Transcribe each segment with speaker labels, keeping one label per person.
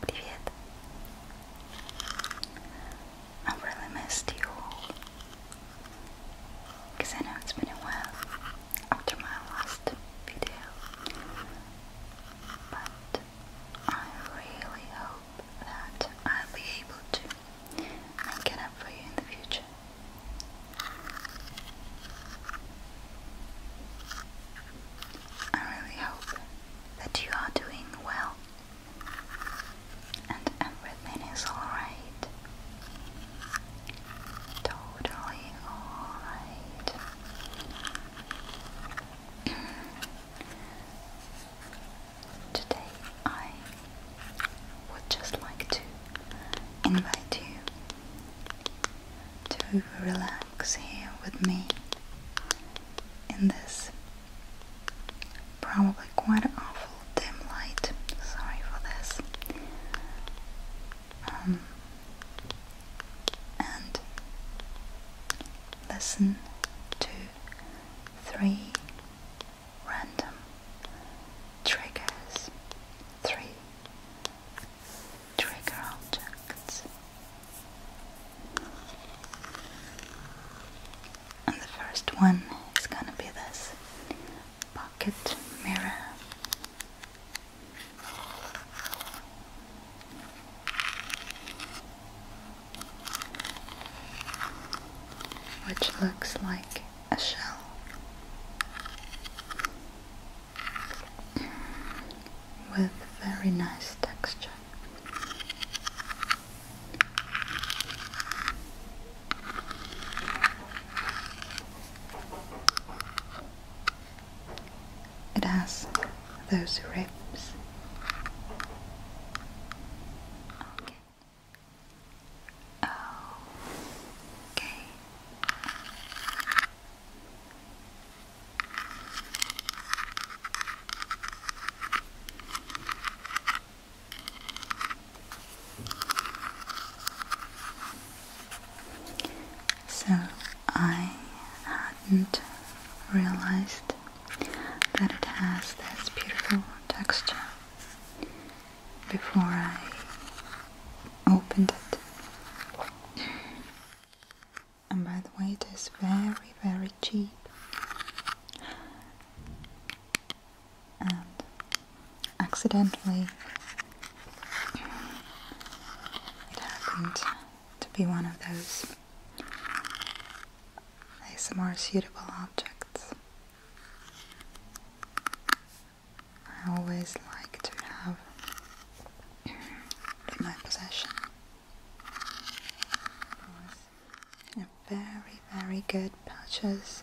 Speaker 1: Привет. I really missed you Because I know it's been a while after my last video. But I really hope that I'll be able to make up for you in the future. I really hope that you are doing well and everything is alright. Totally alright. Today, I would just like to invite you to relax here with me in this probably quite awful dim light. Sorry for this. Um, and listen to three random triggers. Three trigger objects. And the first one is gonna be this pocket mirror. Which looks like a shell with very nice texture. It has those ribs. Okay. Okay. So I hadn't realized that it has this beautiful texture before I opened it. And by the way, it is very, very cheap. And accidentally, it happened to be one of those more suitable objects. I always like to have in my possession a very, very good purchase.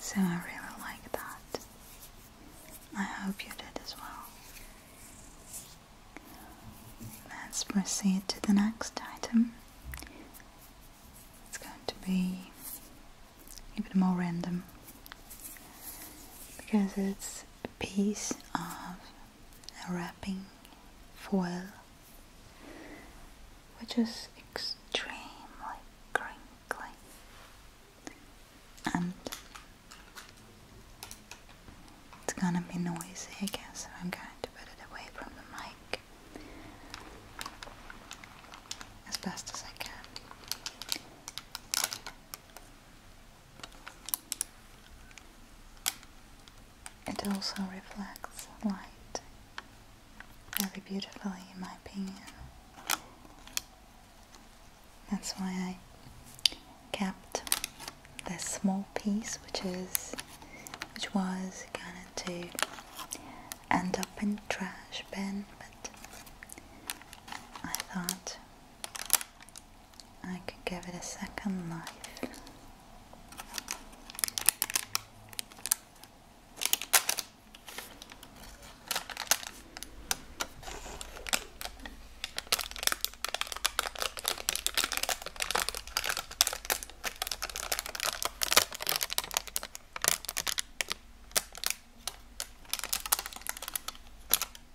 Speaker 1: So I really like that. I hope you did as well. Let's proceed to the next item. It's going to be a bit more random because it's a piece of wrapping foil which is extremely crinkly and it's gonna be noisy I guess so I'm going to put it away from the mic as best as I can it also reflects light very beautifully in my opinion. That's why I kept this small piece which is which was going to end up in trash bin but I thought I could give it a second life.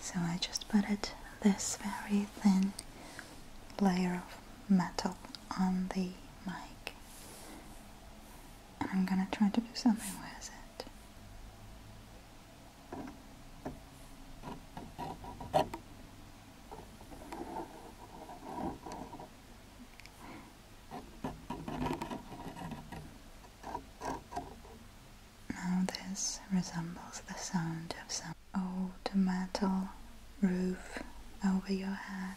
Speaker 1: So I just put it this very thin layer of metal on the mic and I'm gonna try to do something with it. Now this resembles the sound of some Oh, the metal roof over your head.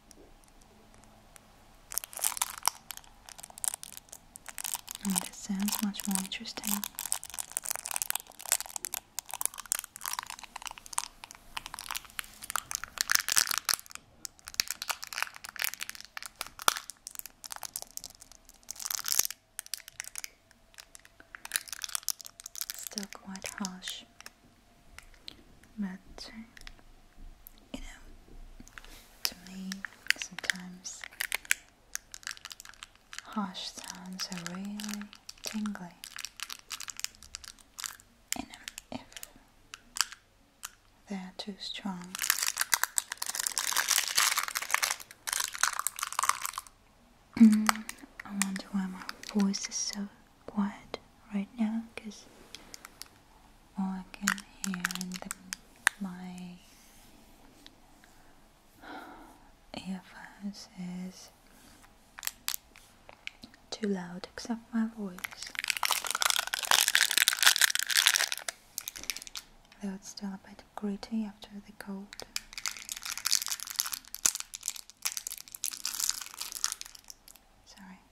Speaker 1: Oh, this sounds much more interesting. Still quite harsh, but you know, to me, sometimes harsh sounds are really tingly. You if they're too strong. Mm, I wonder why my voice is so quiet right now because organ here in the, my earphones is too loud except my voice though it's still a bit gritty after the cold sorry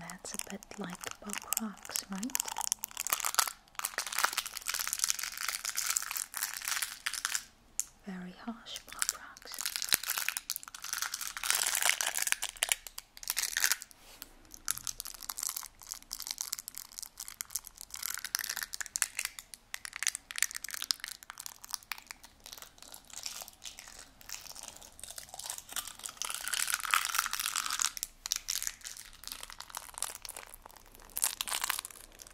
Speaker 1: That's a bit like Bob Rocks, right? Very harsh pop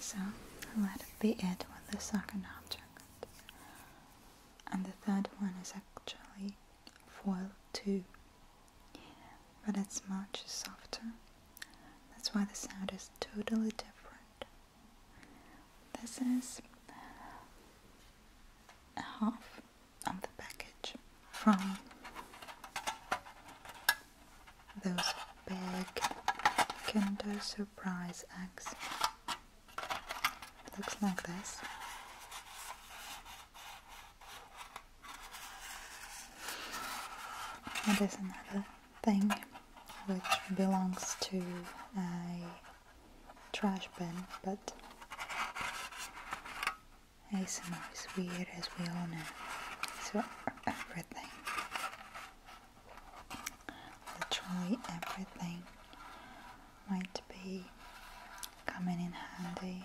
Speaker 1: So let it be it with the second object. And the third one is actually foil too, but it's much softer. That's why the sound is totally different. This is half on the package from those big Kinder Surprise eggs. looks like this. It is another thing which belongs to a trash bin, but it's ASMR is weird as we all know. So everything. Literally everything might be coming in handy.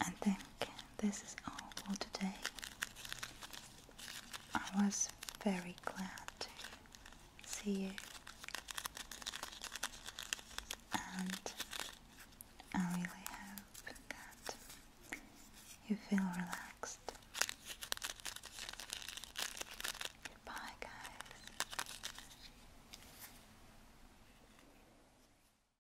Speaker 1: I think this is all for today. I was very glad to see you, and I really hope that you feel relaxed. Goodbye, guys.